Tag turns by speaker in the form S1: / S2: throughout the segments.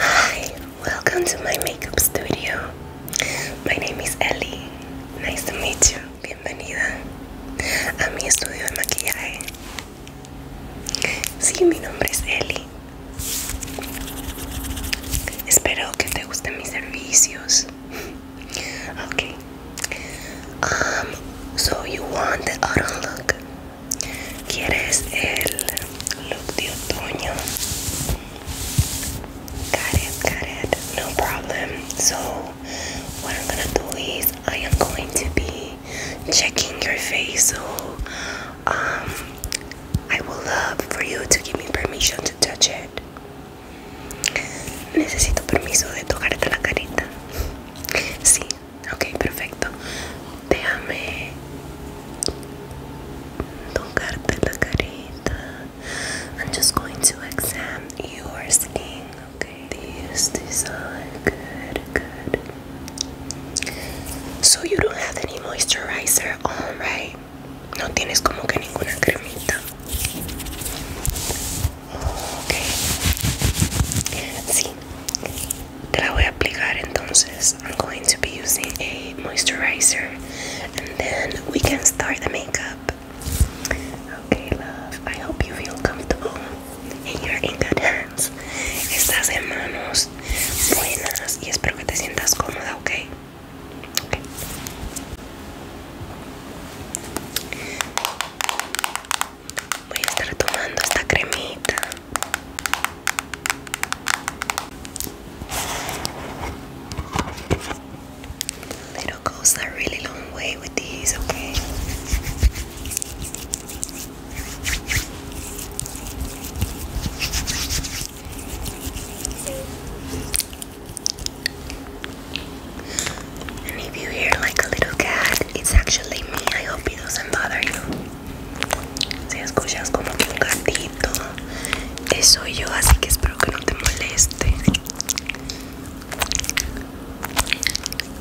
S1: Hi, welcome to my makeup studio. My name is Ellie. Nice to meet you. Bienvenida a mi estudio de maquillaje. Sí, mi nombre es Eli. Espero que te gusten mis servicios. Okay. Um, so you want the autumn look? ¿Quieres el look de otoño? Got it, No problem. So what I'm gonna do is I am going to be checking your face so um, I would love for you to give me permission to touch it. Necesito permiso de tocarte la cara. Sí, ok, perfecto. Déjame tocarte la carita. I'm just going to examine your skin. Okay, these design good, good. So you don't have any moisturizer all right? No tienes como que ninguna cremita. Okay. Sí. I'm going to be using a moisturizer and then we can start the makeup. Okay, love. I hope you feel comfortable. and you're in good hands. Estás en manos buenas y espero que te sientas cómoda, ¿ok? okay. Voy a estar tomando esta cremita. Little goes a really long way with these, okay? And if you hear like a little cat, it's actually me. I hope it doesn't bother you. Si escuchas como que un gatito, eso yo, así que espero que no te moleste.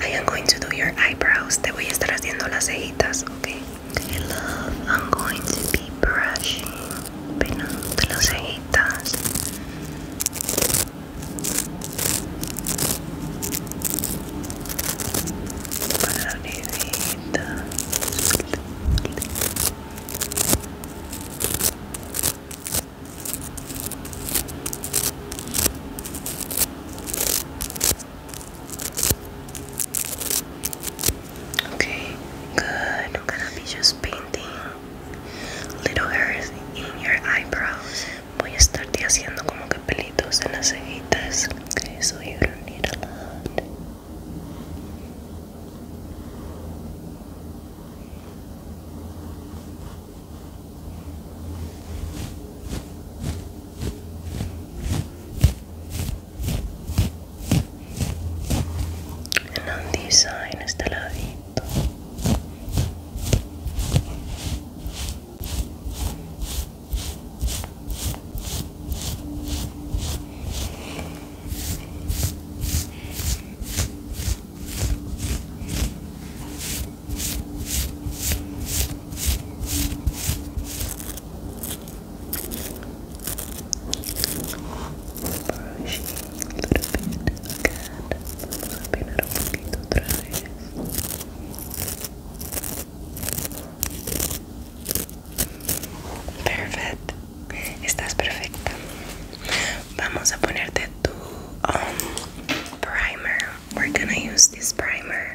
S1: I am going to do your eyebrows. Te voy a estar haciendo las cejitas, okay? love. I'm going to be brushing, peinando las cejitas. Okay, good. I'm gonna be just painting little hairs in your eyebrows. Voy a estarte haciendo como que pelitos en las cejitas. Okay, so you don't need a lot. en un design este ladito Vamos Perfecto. Estás perfecta. Vamos a ponerte tu um, primer. We're gonna use this primer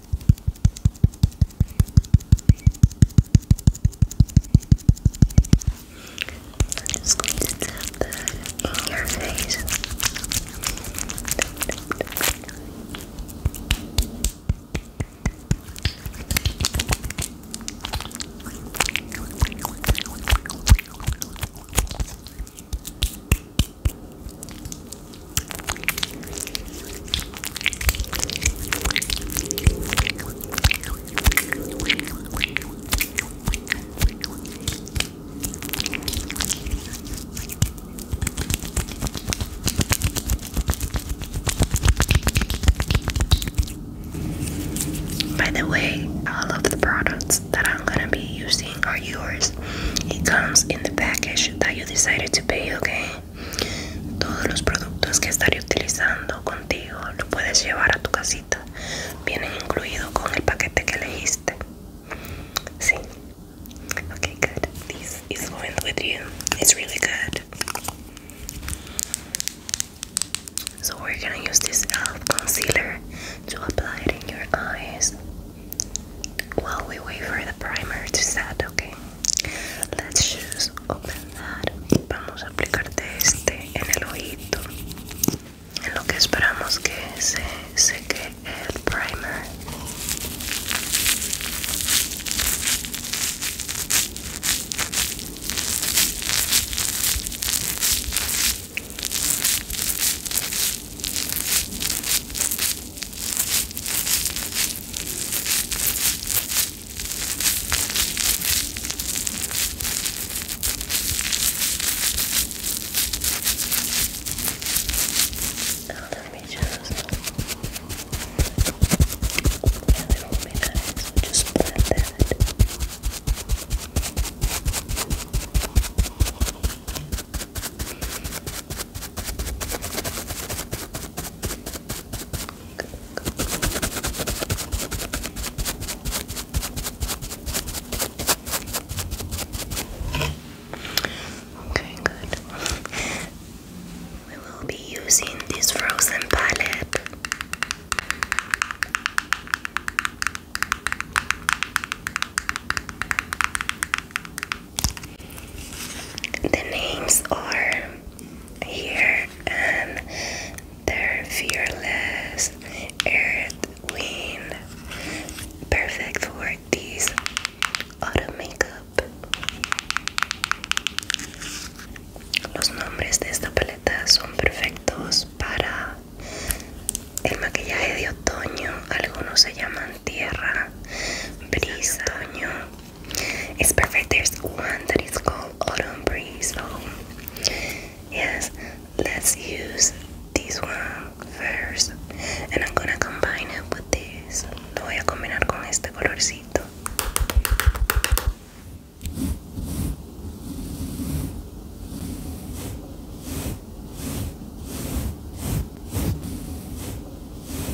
S1: I'm just going to tap that your face. By the way, all of the products that I'm gonna be using are yours. It comes in the package that you decided to pay, okay? Todos los productos que estaré utilizando contigo lo puedes llevar a tu casita. Vienen incluidos con el paquete que elegiste. Sí. Okay, good. This is going with you. It's really good. So we're gonna use this uh, concealer to apply it in your eyes while we wait for the primer to set, okay? Let's open Vamos a aplicarte este en el oído, En lo que esperamos que se seque el primer. Now let me just and it will be nice. So just blend that. Okay, good. We will be using this frozen palette. The names are here and their fearless earth wind. Perfect for this autumn makeup. Los nombres de esta paleta son perfectos para el maquillaje de otoño. Algunos se llaman tierra, brisa, otoño, It's perfect. There's one that is called Autumn Breeze. So, yes, let's use this one first. And I'm gonna combine it with this. voy a combinar con este colorcito.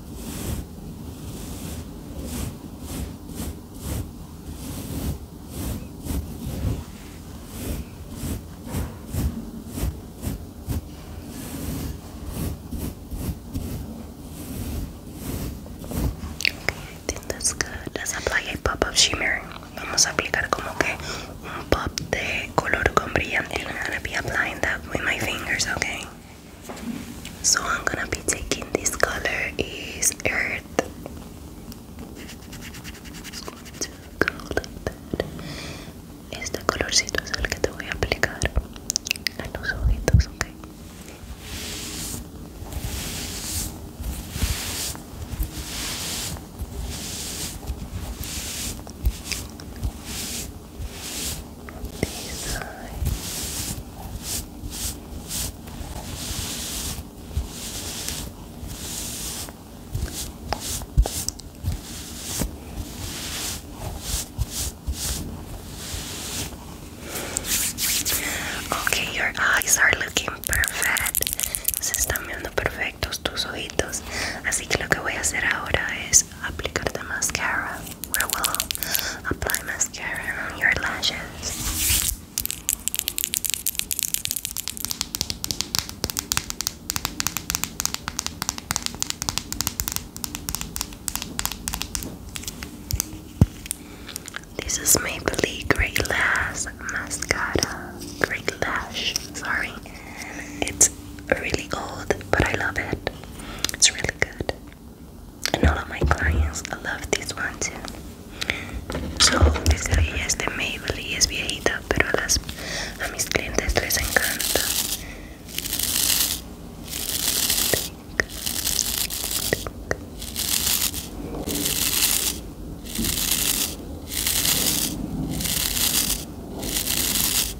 S1: I think that's good. Let's apply a pop up shimmer. Vamos a aplicar como que un pop de color con brillante. I'm gonna be applying that with my fingers, okay? So I'm gonna be taking this color is earth. It's going to go like that. Este colorcito es el que te voy a ok? Okay, your eyes are looking perfect. Se están viendo perfectos tus ojitos. Así que lo que voy a hacer ahora es applicar the mascara. we'll apply mascara on your lashes. This is Maybelline Great Lash Mascara. Great Lash, sorry. It's really old, but I love it. It's really good and all of my clients love this one too. So, desde hoy es Maybelline y es viejita, pero a, las, a mis clientes les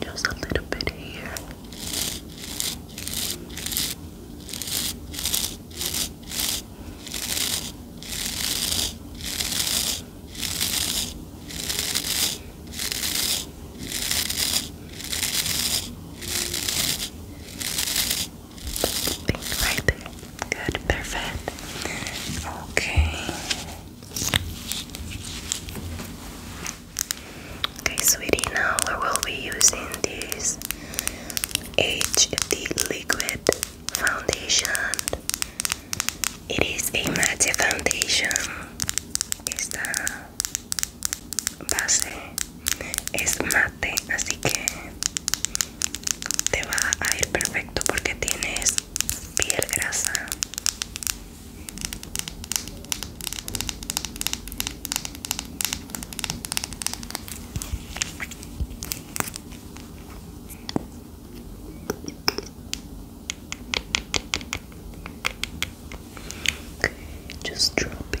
S1: just a little bit here. Think right there. Good, perfect. Okay. Okay, sweetie, now we will be using this HD Liquid Foundation. It is a matte foundation. Esta base es mate, así que te va a ir perfecto porque tienes piel grasa Just drop it.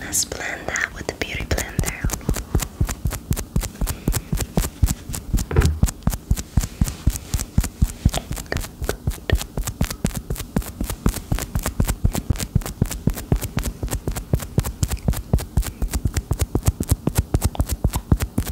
S1: let's blend that with the beauty blender. Good.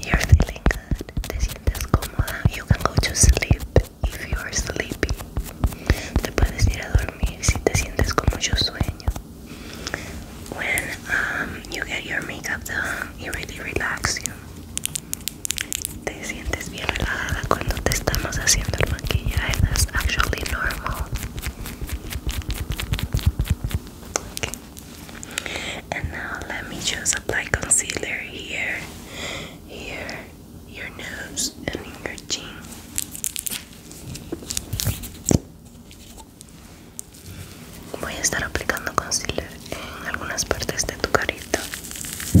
S1: You're feeling good, te sientes cómoda. You can go to sleep if you are sleepy. Te puedes ir a dormir si te sientes con mucho sueño. When um, you get your makeup done, it really relaxes you. Te sientes bien relajada cuando te estamos haciendo el maquillaje. That's actually normal. And now let me just apply concealer here, here, your nose, and your chin. voy a estar aplicando concealer en algunas partes de tu carita uh,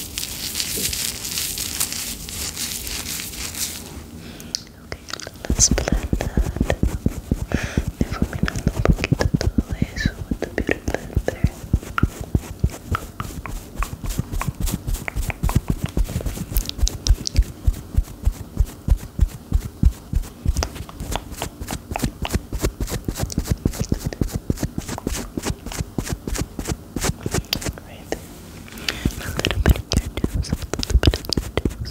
S1: Okay, let's blend that. Before we not todo eso with the beauty blender. Right. A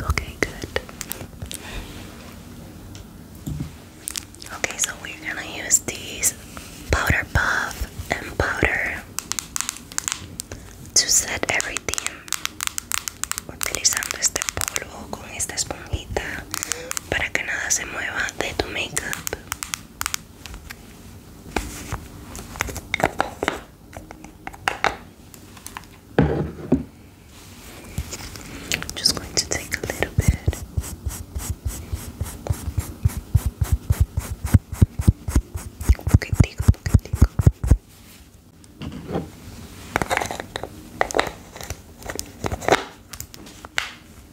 S1: Okay, good. Okay, so we're gonna use these powder puff and powder to set everything. Utilizando este polvo con esta esponjita para que nada se mueva de tu makeup. I'm Just going to take a little bit. Poquitico, poquitico.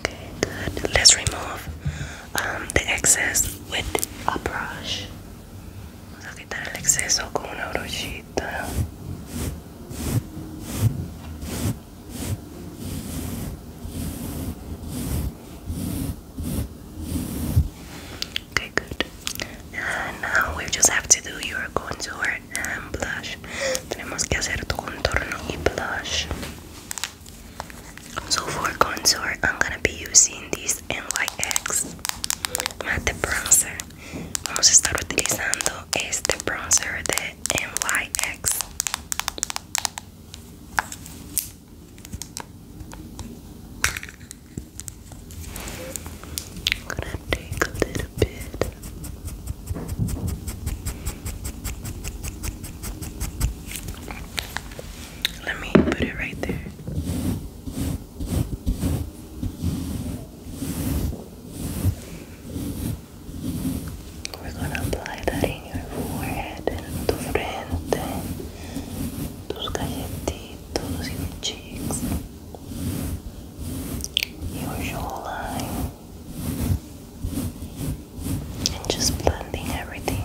S1: Okay, good. Let's remove um, the excess with a brush. quitar el exceso con una brochita. Okay, good. And now we just have to do your contour and blush. Tenemos que hacer contorno y blush. So for contour, I'm gonna be using this NYX matte bronzer. Vamos a estar utilizando este bronzer de NYX. I'm gonna take a little bit. Let me put it right there. We're gonna apply that in your forehead, en tu frente, tus galletitos, your cheeks, your jawline, and just blending everything.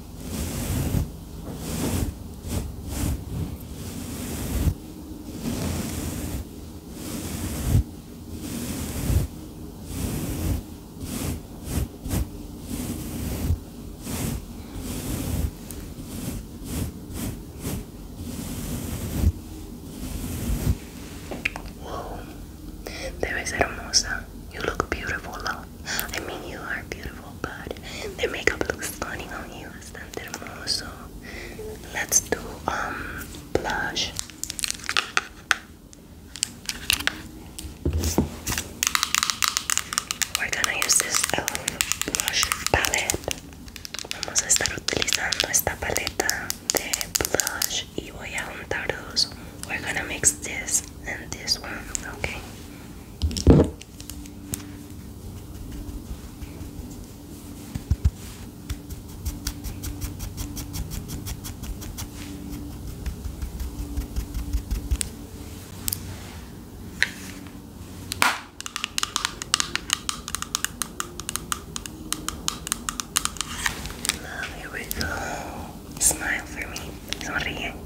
S1: Whoa, You look beautiful, love. I mean, you are beautiful, but the makeup looks stunning on you. Let's do um blush. We're gonna use this um, blush palette. Vamos a estar utilizando esta paleta de blush y voy a juntar We're gonna mix this and this one, okay? Love, here we go. Smile for me.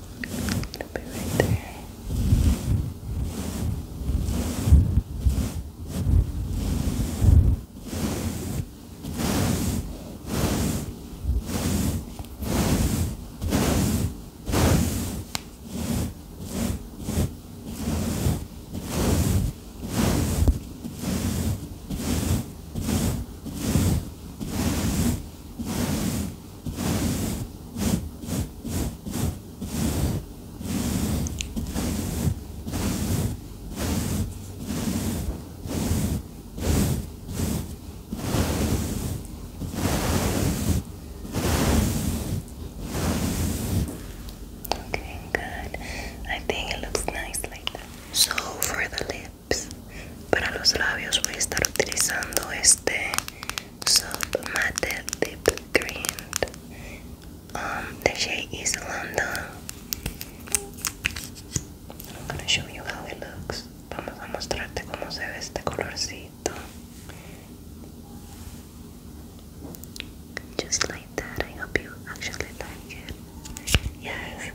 S1: It'll be right there. Good. Okay, good. I think it looks nice like that. So for the lip, para los labios voy a estar utilizando este soap matte Deep cream um, the shade is London I'm gonna show you how it looks vamos a mostrarte cómo se ve este colorcito just like that I hope you actually like it yes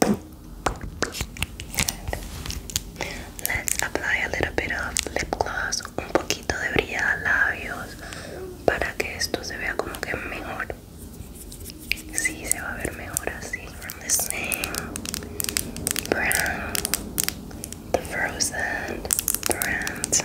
S1: Good. Let's apply a little bit of lip gloss, un poquito de brilla labios para que esto se vea como que mejor. Sí, se va a ver mejor así. From the frozen brand.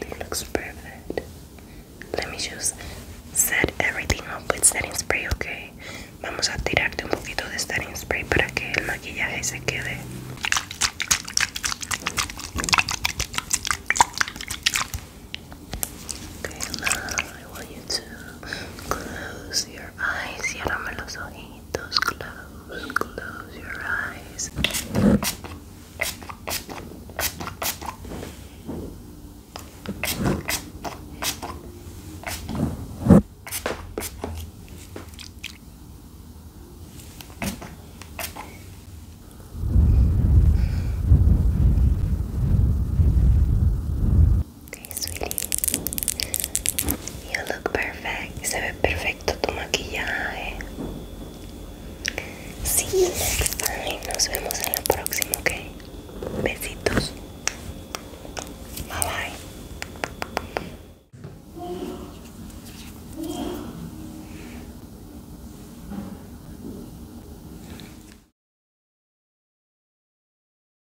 S1: It looks perfect. Let me just set everything up with setting spray, okay? Vamos a tirarte un poquito de setting spray para que el maquillaje se quede. Okay, love. I want you to close your eyes. Ciérrame los ojitos. Close, close your eyes. Okay, sweetie. You look perfect. Se ve perfecto tu maquillaje. Sí. Nos vemos en la próxima, ¿ok? Besitos. Bye bye.